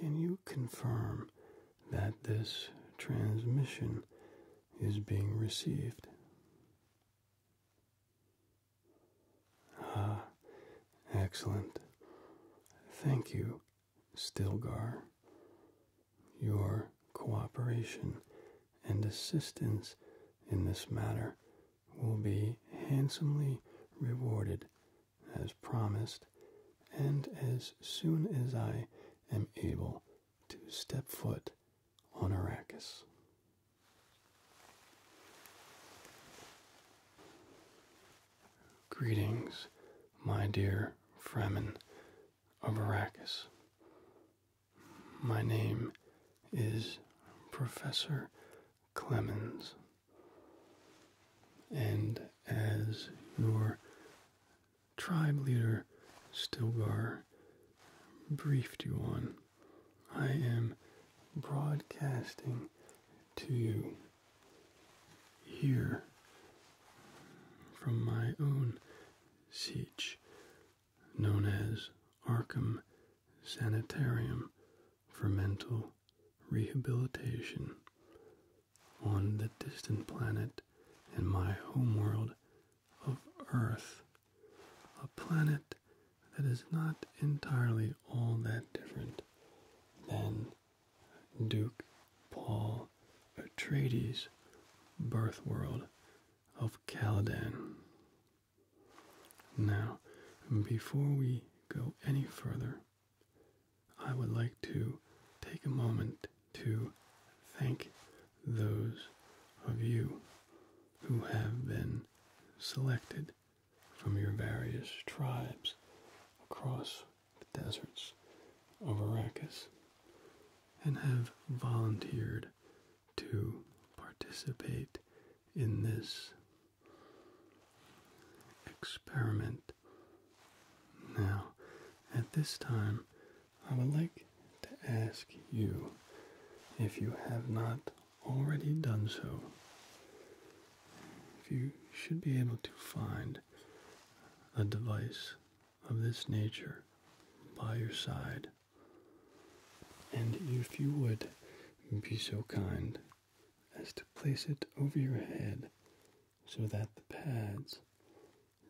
Can you confirm that this transmission is being received. Ah, excellent. Thank you, Stilgar. Your cooperation and assistance in this matter will be handsomely rewarded as promised, and as soon as I am able to step foot on Arrakis. Greetings, my dear Fremen of Arrakis. My name is Professor Clemens, and as your tribe leader Stilgar briefed you on. I am broadcasting to you here from my own siege known as Arkham Sanitarium for Mental Rehabilitation on the distant planet and my homeworld of Earth, a planet that is not entirely all that different than Duke Paul Atreides' birth world of Caladan. Now, before we go any further, I would like to take a moment to thank those of you who have been selected from your various tribes across the deserts of Arrakis and have volunteered to participate in this experiment. Now, at this time, I would like to ask you if you have not already done so. If you should be able to find a device of this nature by your side, and if you would be so kind as to place it over your head so that the pads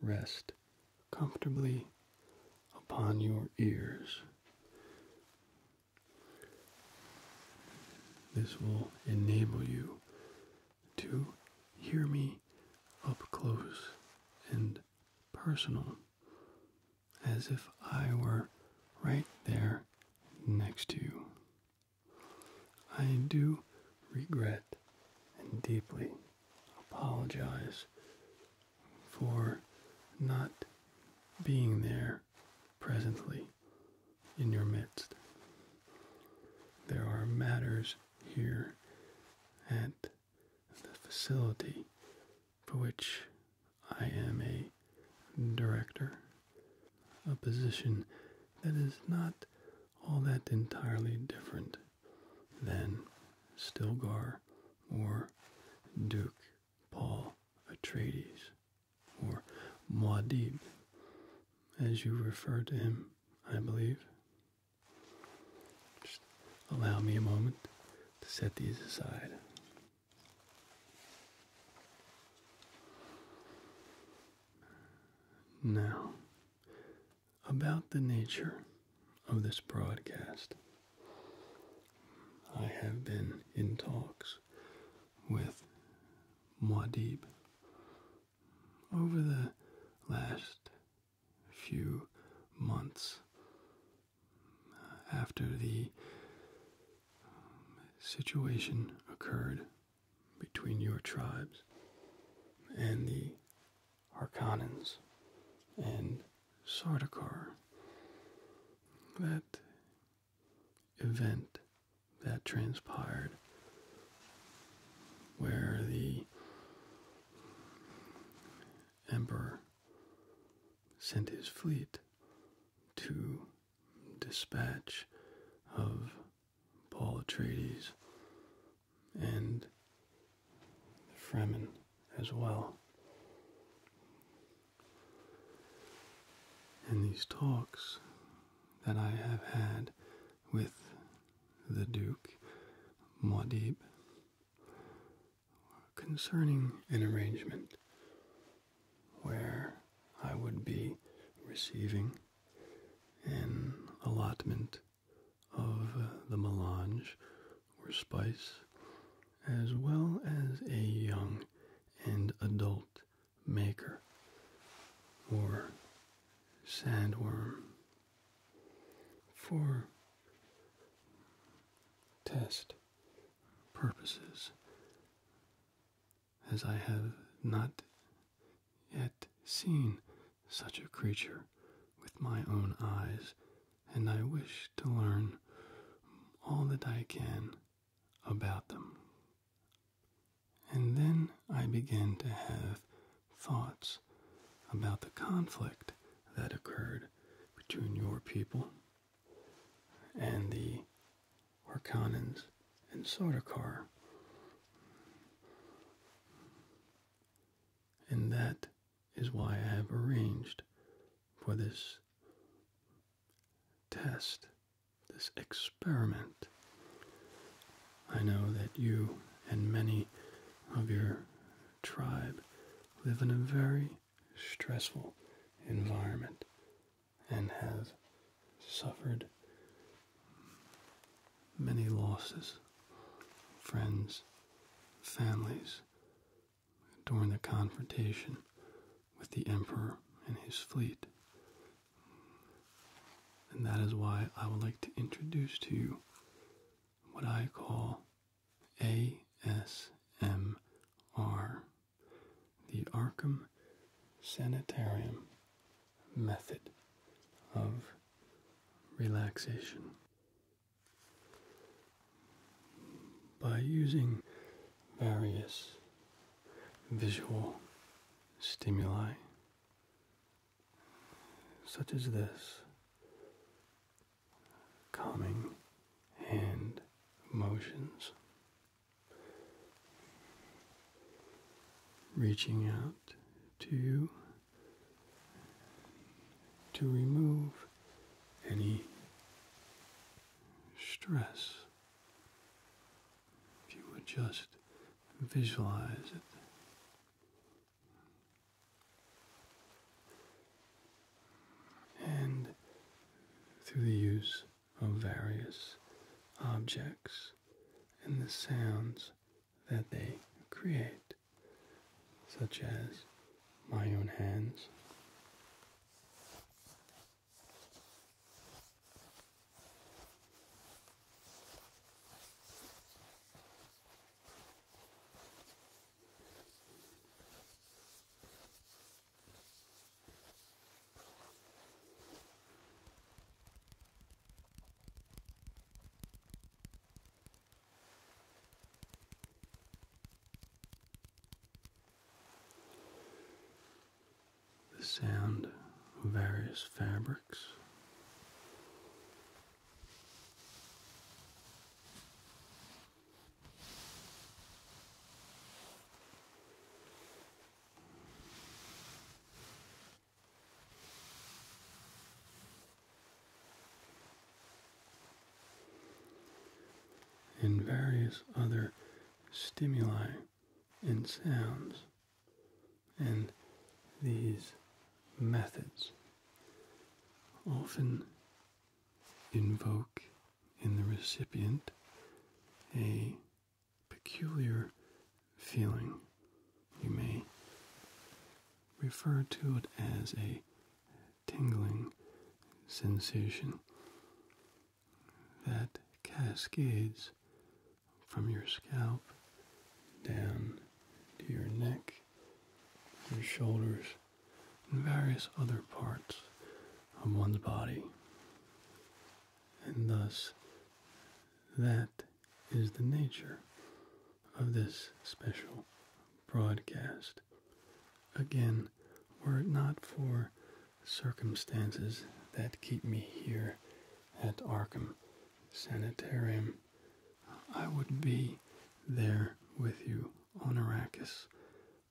rest comfortably upon your ears. This will enable you to hear me up close and personal as if I were right there next to you. I do regret and deeply apologize for not being there presently in your midst. There are matters here at the facility for which I am a director, a position that is not all that entirely different than Stilgar or Duke Paul Atreides or Muad'Dib, as you refer to him, I believe. Just allow me a moment to set these aside. Now, about the nature of this broadcast. I have been in talks with Muad'Dib over the last few months uh, after the situation occurred between your tribes and the Harkonnens and Sardaukar. That event that transpired where the emperor sent his fleet to dispatch of Paul Atreides and the Fremen as well. And these talks that I have had with the Duke Maudib concerning an arrangement where I would be receiving an allotment of uh, the melange or spice, as well as a young and adult maker or sandworm. For test purposes, as I have not yet seen such a creature with my own eyes, and I wish to learn all that I can about them. And then I began to have thoughts about the conflict that occurred between your people and the Orkanans and Sardaukar. And that is why I have arranged for this test, this experiment. I know that you and many of your tribe live in a very stressful environment and have suffered many losses, friends, families, during the confrontation with the Emperor and his fleet. And that is why I would like to introduce to you what I call ASMR, the Arkham Sanitarium Method of Relaxation. By using various visual stimuli, such as this calming hand motions, reaching out to you to remove any stress. If you would just visualize it. And through the use of various objects and the sounds that they create such as my own hands. The sound of various fabrics and various other stimuli and sounds and these methods often invoke in the recipient a peculiar feeling. You may refer to it as a tingling sensation that cascades from your scalp down to your neck, your shoulders, and various other parts of one's body. And thus, that is the nature of this special broadcast. Again, were it not for circumstances that keep me here at Arkham Sanitarium, I would be there with you on Arrakis,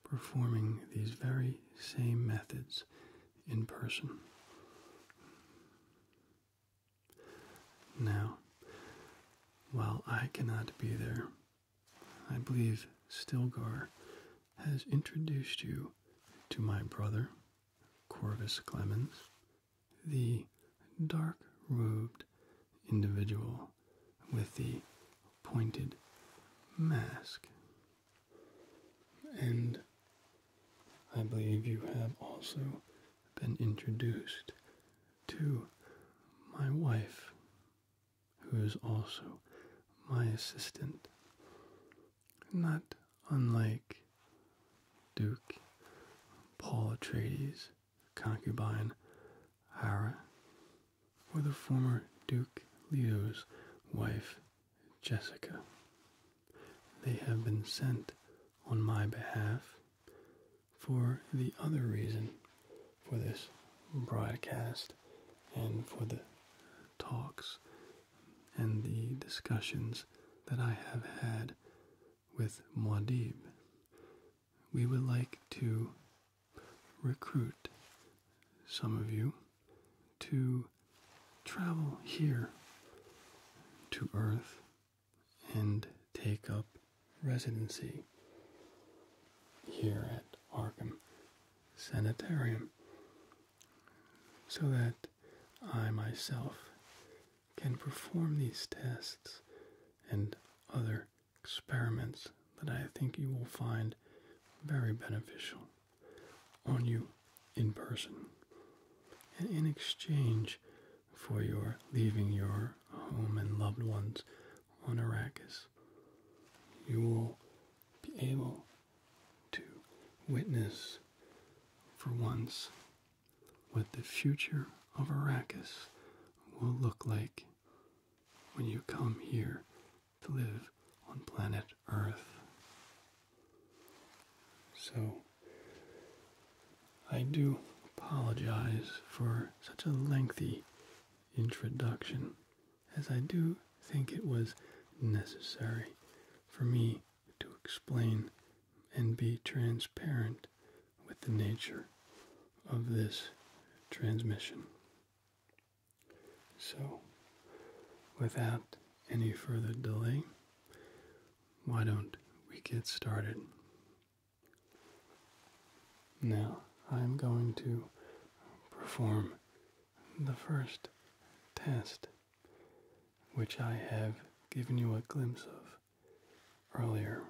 performing these very same methods in person. Now, while I cannot be there, I believe Stilgar has introduced you to my brother, Corvus Clemens, the dark robed individual with the pointed mask. And I believe you have also been introduced to my wife, who is also my assistant, not unlike Duke Paul Atreides' concubine Hara, or the former Duke Leo's wife Jessica. They have been sent on my behalf for the other reason for this broadcast and for the talks and the discussions that I have had with Muad'Dib. We would like to recruit some of you to travel here to Earth and take up residency here at Arkham Sanitarium so that I myself can perform these tests and other experiments that I think you will find very beneficial on you in person. And in exchange for your leaving your home and loved ones on Arrakis. You will be able to witness for once what the future of Arrakis will look like when you come here to live on planet Earth. So, I do apologize for such a lengthy introduction, as I do think it was necessary for me to explain and be transparent with the nature of this transmission. So, without any further delay, why don't we get started? Now I'm going to perform the first test, which I have given you a glimpse of earlier.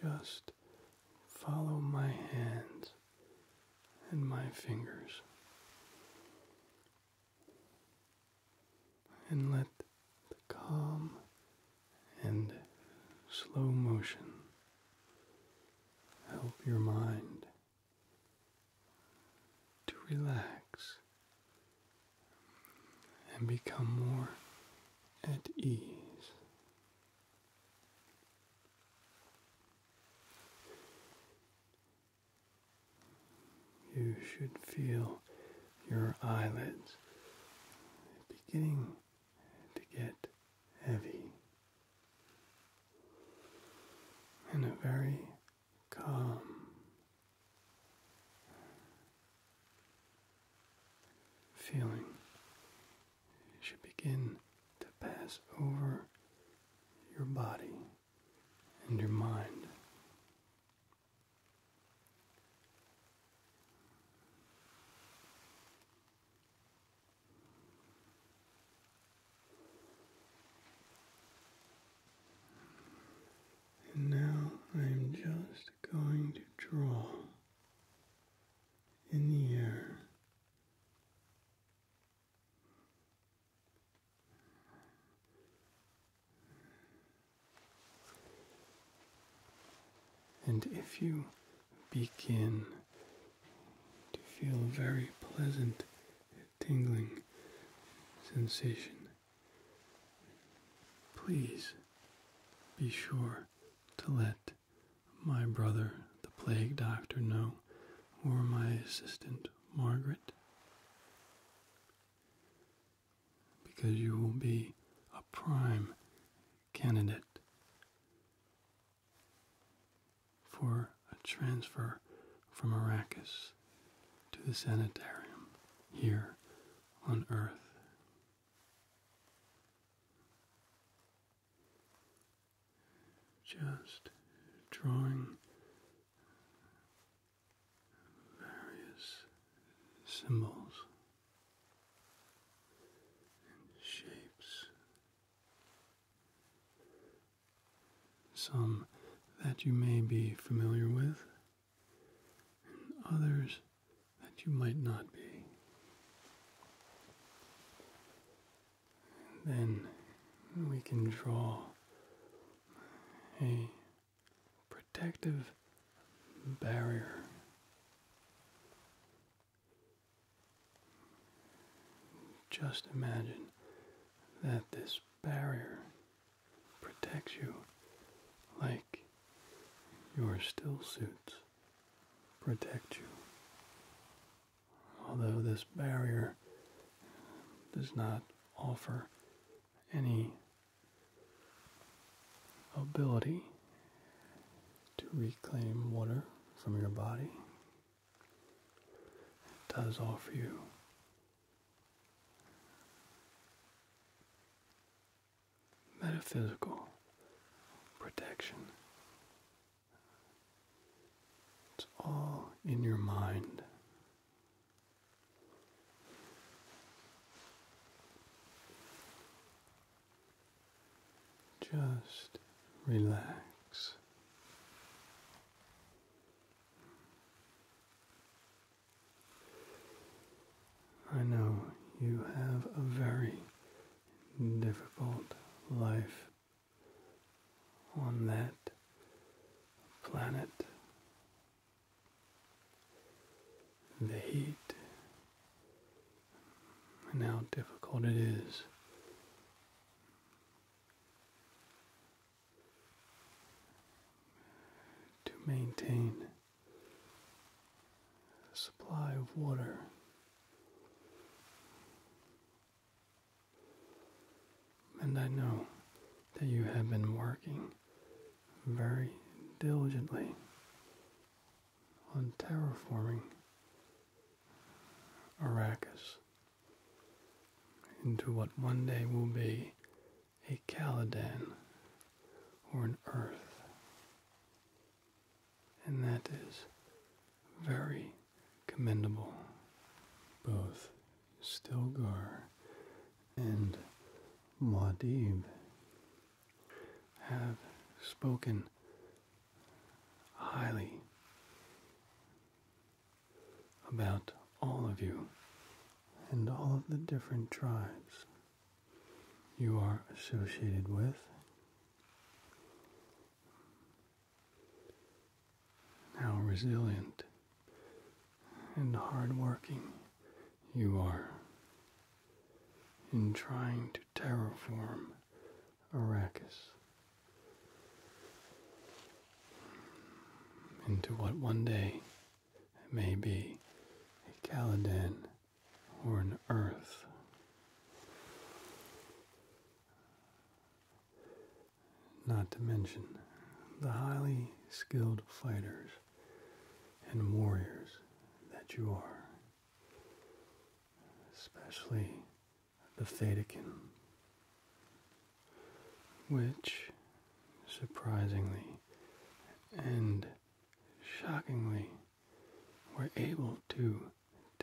Just follow my hands and my fingers. And let the calm and slow motion help your mind to relax and become more at ease. You should feel your eyelids beginning to get heavy. and a very calm, feeling should begin to pass over your body and your mind. And now I am just going to draw in the air and if you begin to feel a very pleasant tingling sensation, please be sure to let my brother, the plague doctor, know, or my assistant, Margaret, because you will be a prime candidate for a transfer from Arrakis to the sanitarium here on Earth just drawing various symbols and shapes, some that you may be familiar with, and others that you might not be then we can draw a protective barrier. Just imagine that this barrier protects you like your still suits protect you although this barrier does not offer any ability to reclaim water from your body. It does offer you metaphysical protection it's all in your mind. Just relax. I know you have a very difficult life on that planet. The heat and how difficult it is. To maintain a supply of water and I know that you have been working very diligently on terraforming Arrakis into what one day will be a Caladan or an Earth. And that is very commendable, both Stilgar, and Muad'Dib have spoken highly about all of you and all of the different tribes you are associated with how resilient and hardworking you are in trying to terraform Arrakis into what one day may be a Caladan or an Earth not to mention the highly skilled fighters and warriors that you are, especially the Thetakin, which surprisingly and shockingly were able to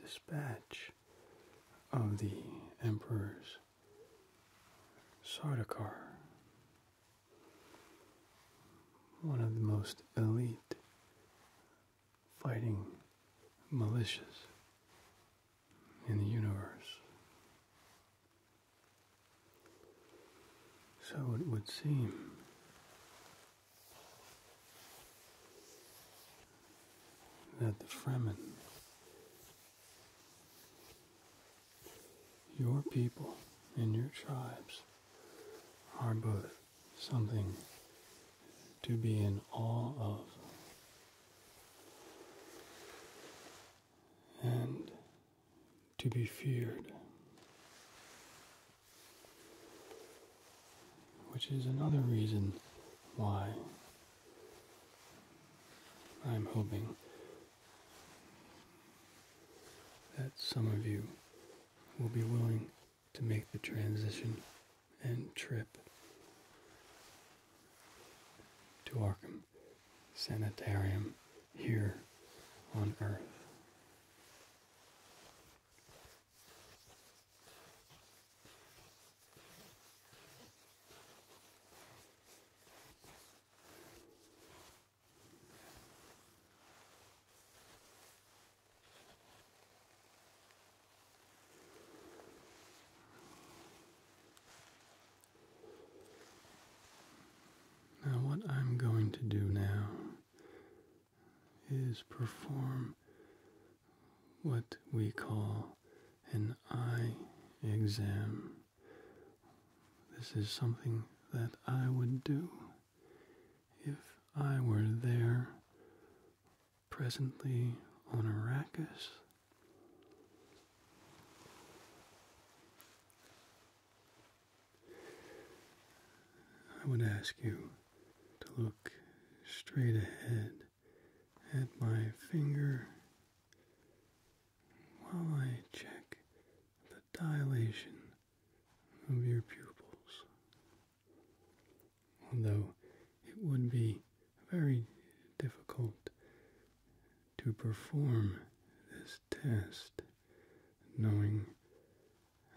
dispatch of the Emperor's Sardaukar, one of the most elite fighting militias in the universe. So it would seem. That the Fremen your people and your tribes are both something to be in awe of. And to be feared, which is another reason why I'm hoping that some of you will be willing to make the transition and trip to Arkham Sanitarium here on Earth. Now, what I'm going to do now is perform what we call and I examine. This is something that I would do if I were there presently on Arrakis. I would ask you to look straight ahead at my finger while I check the dilation of your pupils. Although it would be very difficult to perform this test knowing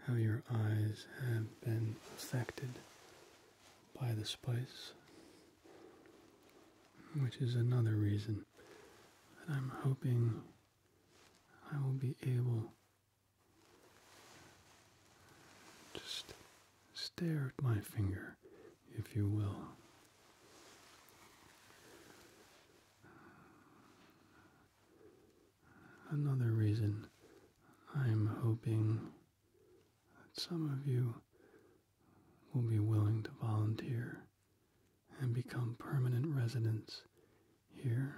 how your eyes have been affected by the spice which is another reason that I'm hoping I will be able to st stare at my finger, if you will. Another reason I'm hoping that some of you will be willing to volunteer and become permanent residents here.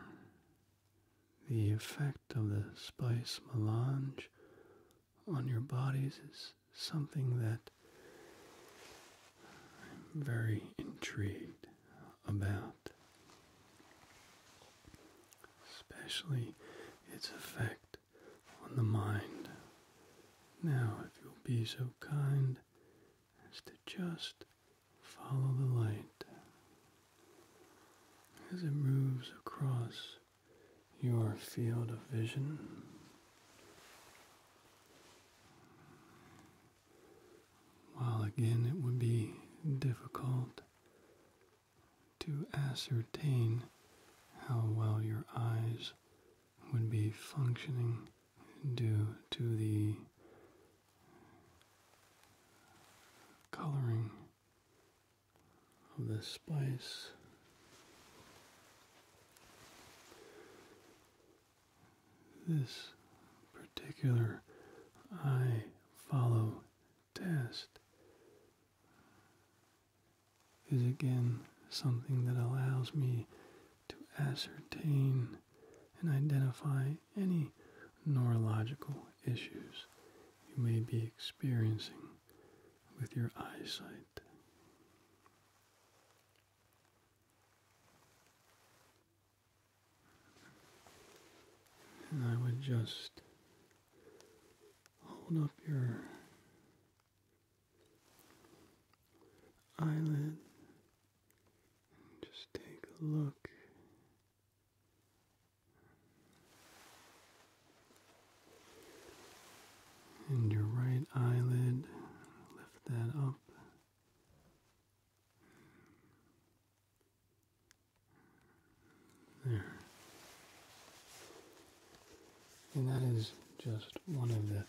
The effect of the spice melange on your bodies is something that I'm very intrigued about, especially its effect on the mind. Now, if you'll be so kind as to just follow the light as it moves across your field of vision. While again it would be difficult to ascertain how well your eyes would be functioning due to the coloring of the spice. This particular eye follow test is again something that allows me to ascertain and identify any neurological issues you may be experiencing with your eyesight. And I would just hold up your eyelid and just take a look. And your right eyelid, lift that up. There. And that is just one of the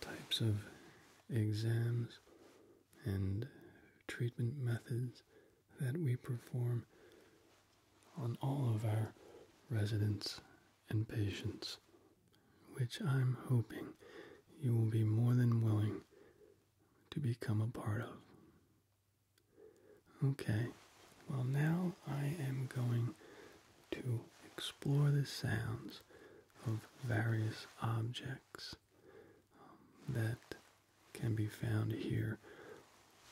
types of exams and treatment methods that we perform on all of our residents and patients, which I'm hoping you will be more than willing to become a part of. Okay, well, now I am going to explore the sounds of various objects um, that can be found here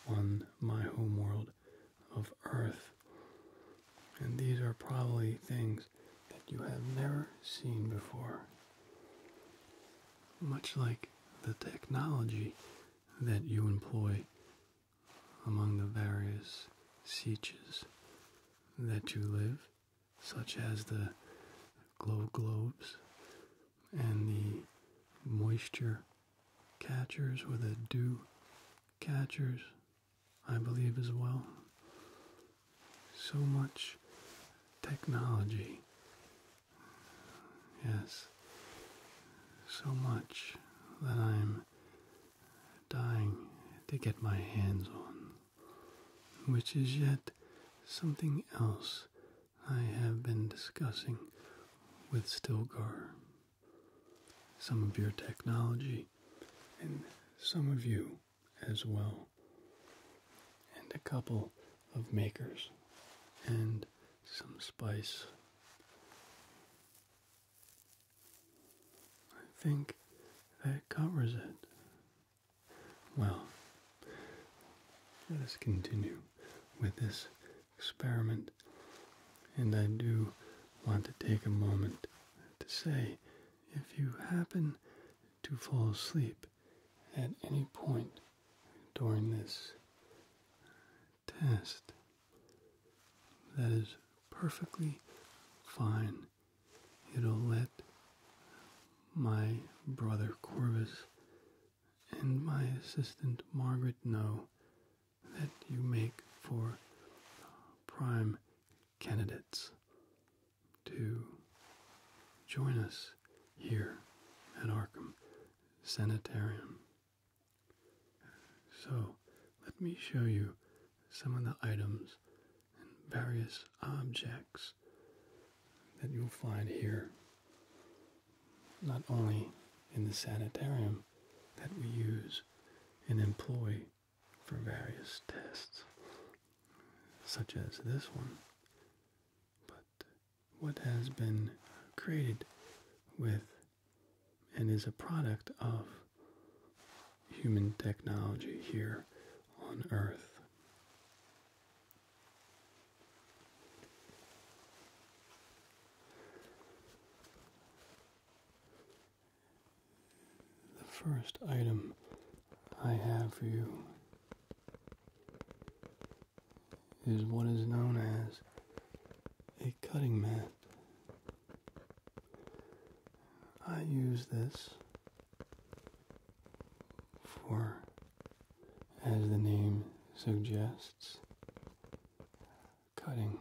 on my homeworld of Earth. And these are probably things that you have never seen before. Much like the technology that you employ among the various sieges that you live, such as the glow globes and the moisture catchers or the dew catchers, I believe, as well. So much technology. Yes, so much that I'm dying to get my hands on, which is yet something else I have been discussing with Stilgar. Some of your technology, and some of you as well, and a couple of makers, and some spice. I think that covers it. Well, let us continue with this experiment. And I do want to take a moment to say if you happen to fall asleep at any point during this, test. That is perfectly fine. It'll let my brother Corvus and my assistant Margaret know that you make for prime candidates to join us here at Arkham Sanitarium. So let me show you some of the items and various objects that you'll find here, not only in the sanitarium that we use and employ for various tests, such as this one, but what has been created with and is a product of human technology here on Earth. The first item I have for you is what is known as a cutting mat. I use this for, as the name suggests, cutting.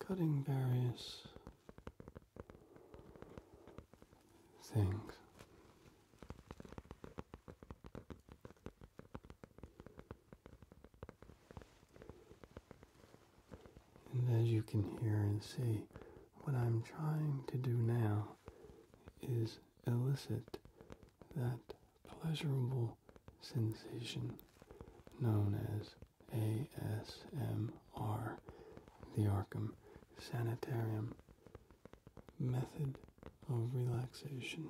Cutting various things. And as you can hear and see, what I'm trying to do now is elicit that pleasurable sensation known as ASMR, the Arkham Sanitarium method of relaxation.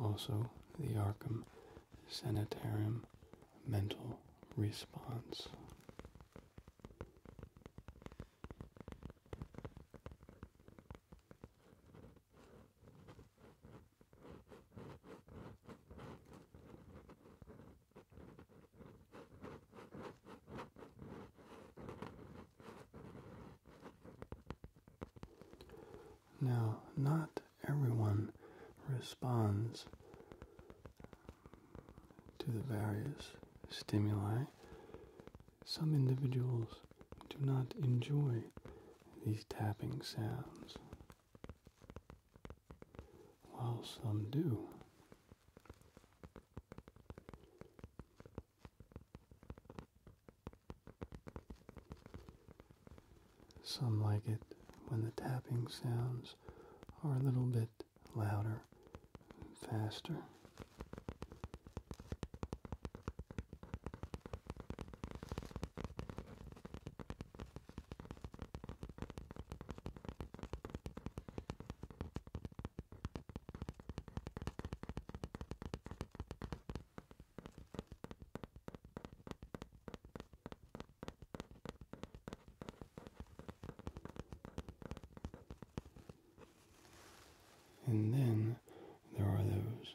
Also, the Arkham Sanitarium Mental Response. Now, not everyone responds to the various stimuli. Some individuals do not enjoy these tapping sounds, while some do. Some like it when the tapping sounds are a little bit louder and faster. And then there are those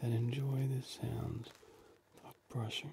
that enjoy the sounds of brushing.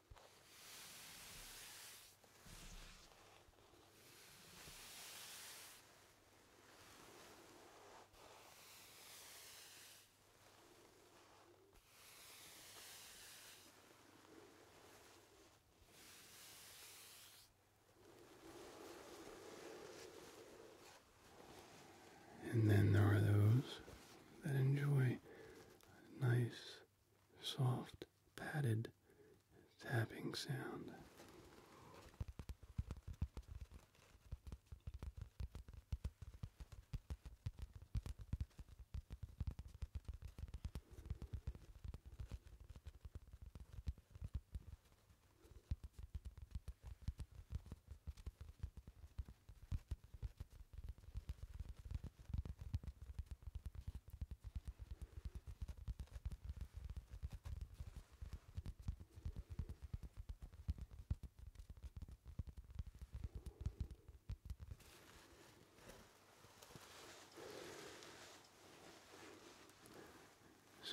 And then there are those that enjoy nice soft, padded tapping sound.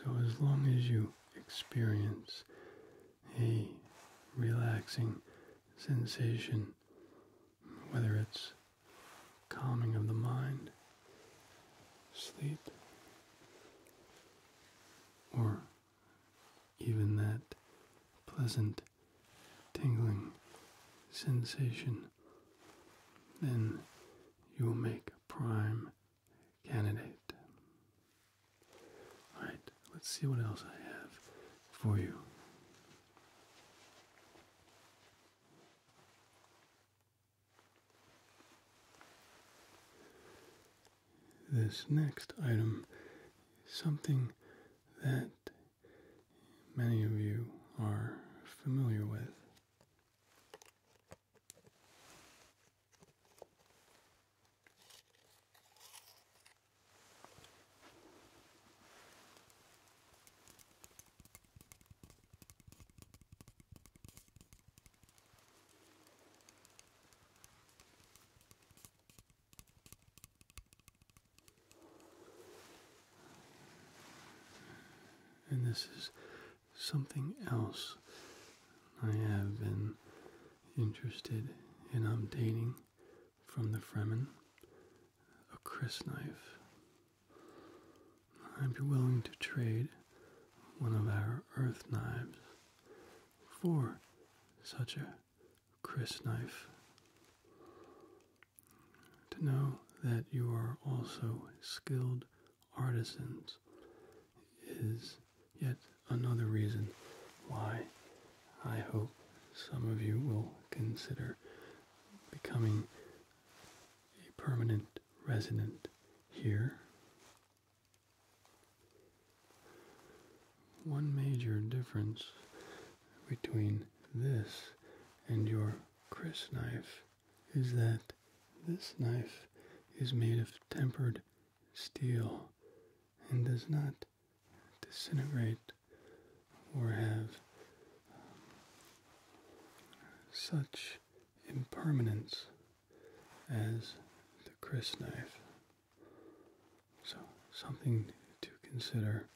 So, as long as you experience a relaxing sensation, whether it's calming of the mind, sleep, or even that pleasant tingling sensation, then you will make a prime candidate. Alright, let's see what else I have for you. This next item is something that many of you are familiar with. And this is something else I have been interested in obtaining from the Fremen a Chris knife. I'd be willing to trade one of our earth knives for such a Chris knife. To know that you are also skilled artisans is yet another reason why I hope some of you will consider becoming a permanent resident here. One major difference between this and your Chris knife is that this knife is made of tempered steel and does not disintegrate or have um, such impermanence as the Chris knife. So, something to consider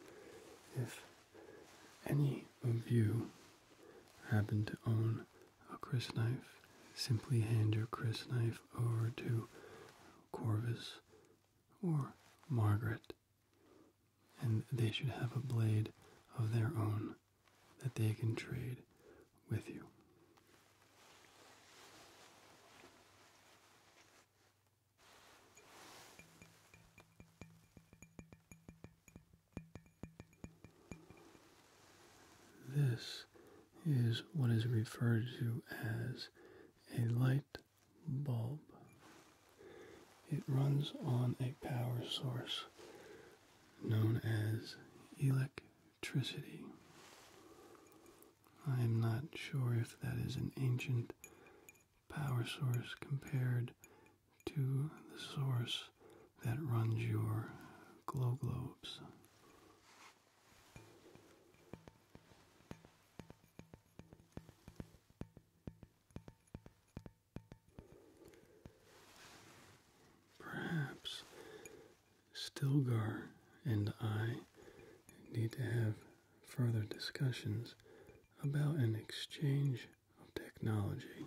if any of you happen to own a Chris knife, simply hand your Chris knife over to Corvus or Margaret and they should have a blade of their own that they can trade with you. This is what is referred to as a light bulb. It runs on a power source known as electricity. I am not sure if that is an ancient power source compared to the source that runs your glow globes. Perhaps Stilgar and I need to have further discussions about an exchange of technology.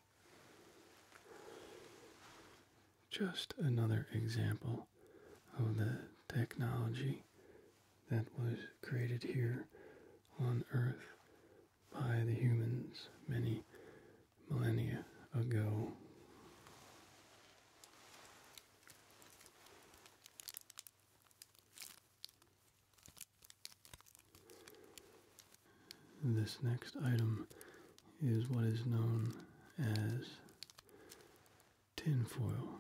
Just another example of the technology that was created here on Earth by the humans many millennia ago. This next item is what is known as tinfoil.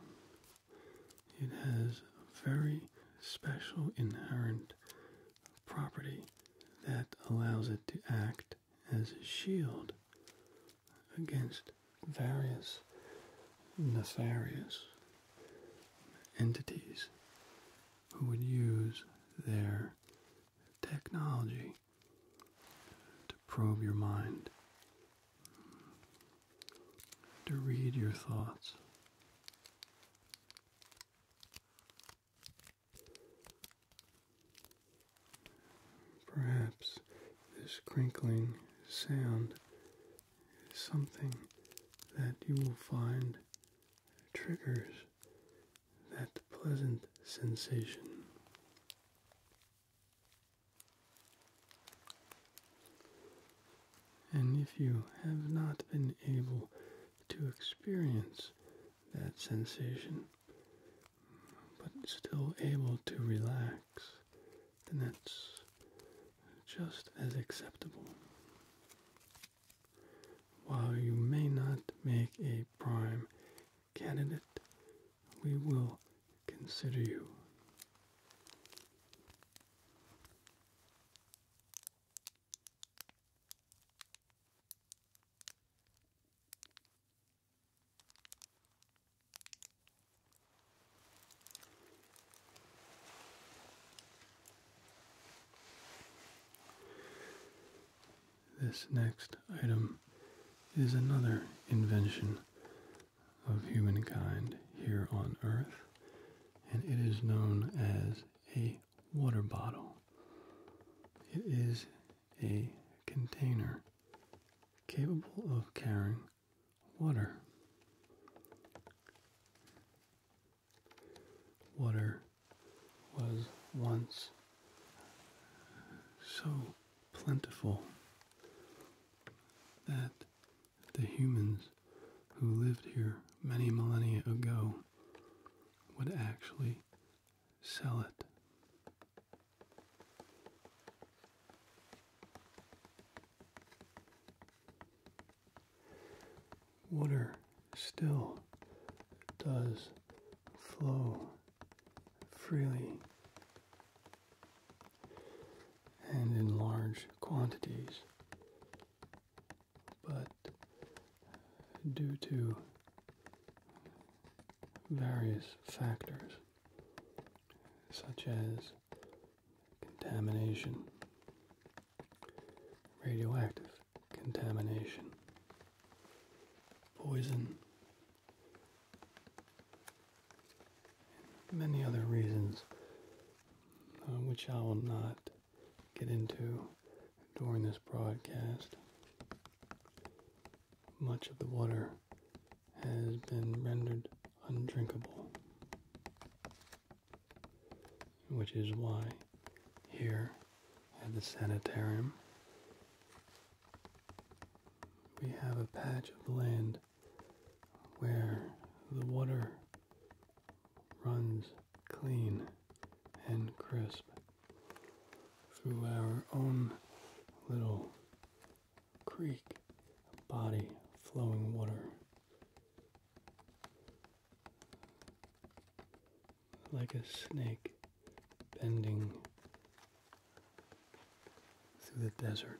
It has a very special inherent property that allows it to act as a shield against various nefarious entities who would use their technology to probe your mind, to read your thoughts. Perhaps this crinkling sound is something that you will find triggers that pleasant sensation. And if you have not been able to experience that sensation, but still able to relax, then that's just as acceptable. While you may not make a prime candidate, we will consider you. This next item is another invention of humankind here on Earth, and it is known as a water bottle. It is a container capable of carrying water. Water was once so plentiful that the humans who lived here many millennia ago would actually sell it water still does flow freely and in large quantities, but due to various factors such as contamination radioactive contamination, poison, many other reasons uh, which I will not get into during this broadcast. Much of the water has been rendered undrinkable which is why here at the sanitarium we have a patch of land where the water runs clean and crisp through our own little creek body flowing water like a snake bending through the desert.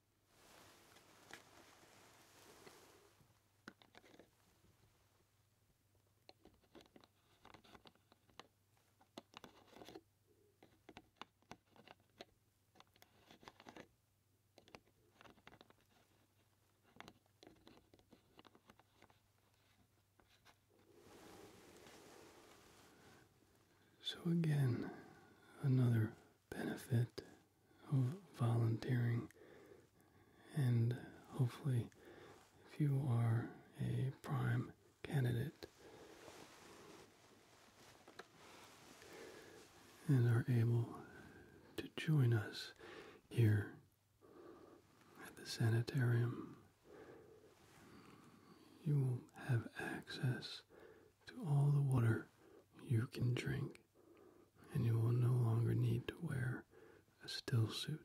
So, again, another benefit of volunteering. And hopefully, if you are a prime candidate and are able to join us here at the sanitarium, you will have access to all the water you can drink, and you will no longer need to wear a still suit.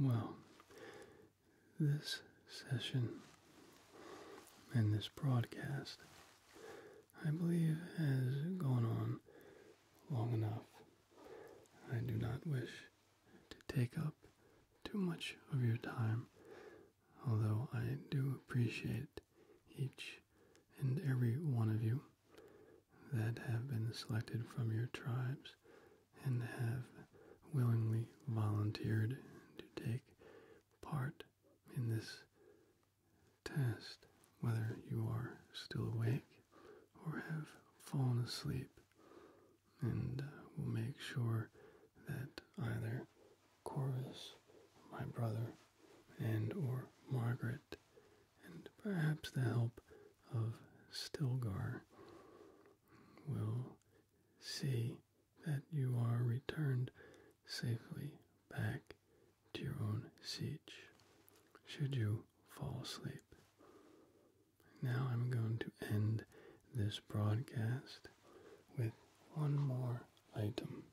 Well, this session and this broadcast, I believe, has gone on long enough. I do not wish to take up too much of your time, although I do appreciate each and every one of you that have been selected from your tribes and have willingly volunteered to take part in this test, whether you are still awake or have fallen asleep, and uh, we'll make sure that either Corvus, my brother, and or Margaret, and perhaps the help of Stilgar, will see that you are returned safely back to your own siege should you fall asleep. Now I'm going to end this broadcast with one more item.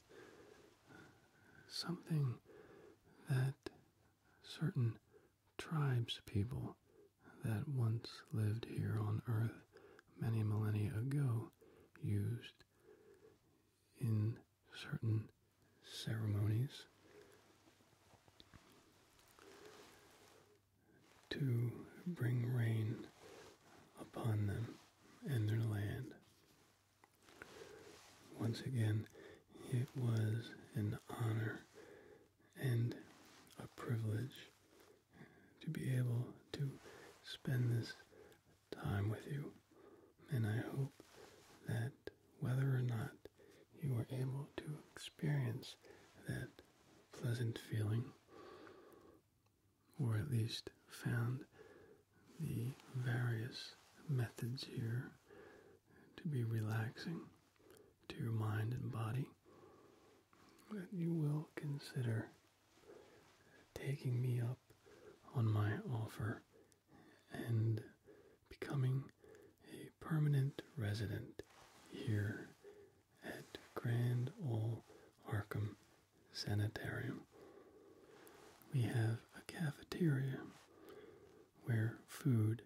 Something that certain tribes people that once lived here on Earth many millennia ago used in certain ceremonies to bring rain upon them and their land. Once again, it was an honor and a privilege to be able to spend this time with you. And I hope that whether or not you were able to experience that pleasant feeling, or at least found the various methods here to be relaxing to your mind and body, that you will consider taking me up on my offer and becoming a permanent resident here at Grand Ole Arkham Sanitarium. We have a cafeteria where food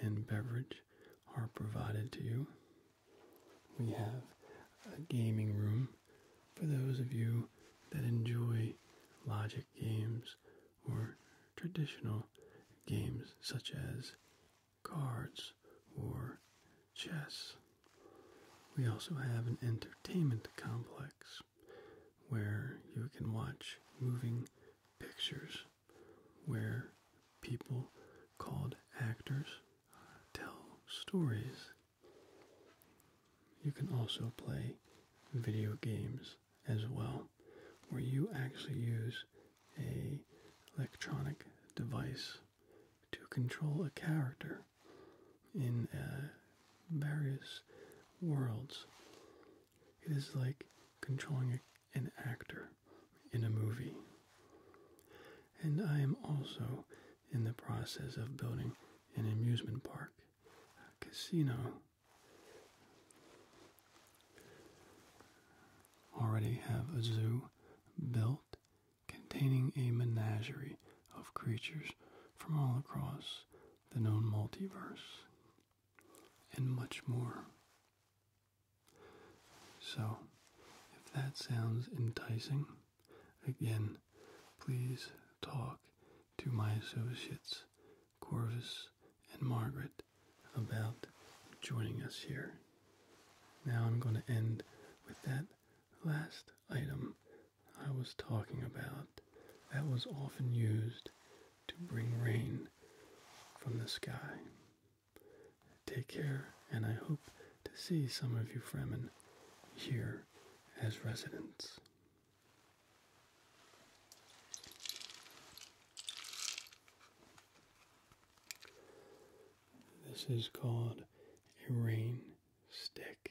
and beverage are provided to you. We have a gaming room for those of you that enjoy logic games or traditional games such as cards, or chess. We also have an entertainment complex where you can watch moving pictures where people called actors tell stories. You can also play video games as well, where you actually use a electronic device to control a character in uh, various worlds. It is like controlling an actor in a movie. And I am also in the process of building an amusement park, a casino already have a zoo built containing a menagerie of creatures from all across the known multiverse and much more. So, if that sounds enticing, again, please talk to my associates, Corvus and Margaret, about joining us here. Now I'm going to end with that last item I was talking about that was often used to bring rain from the sky. Take care, and I hope to see some of you Fremen here as residents. This is called a rain stick.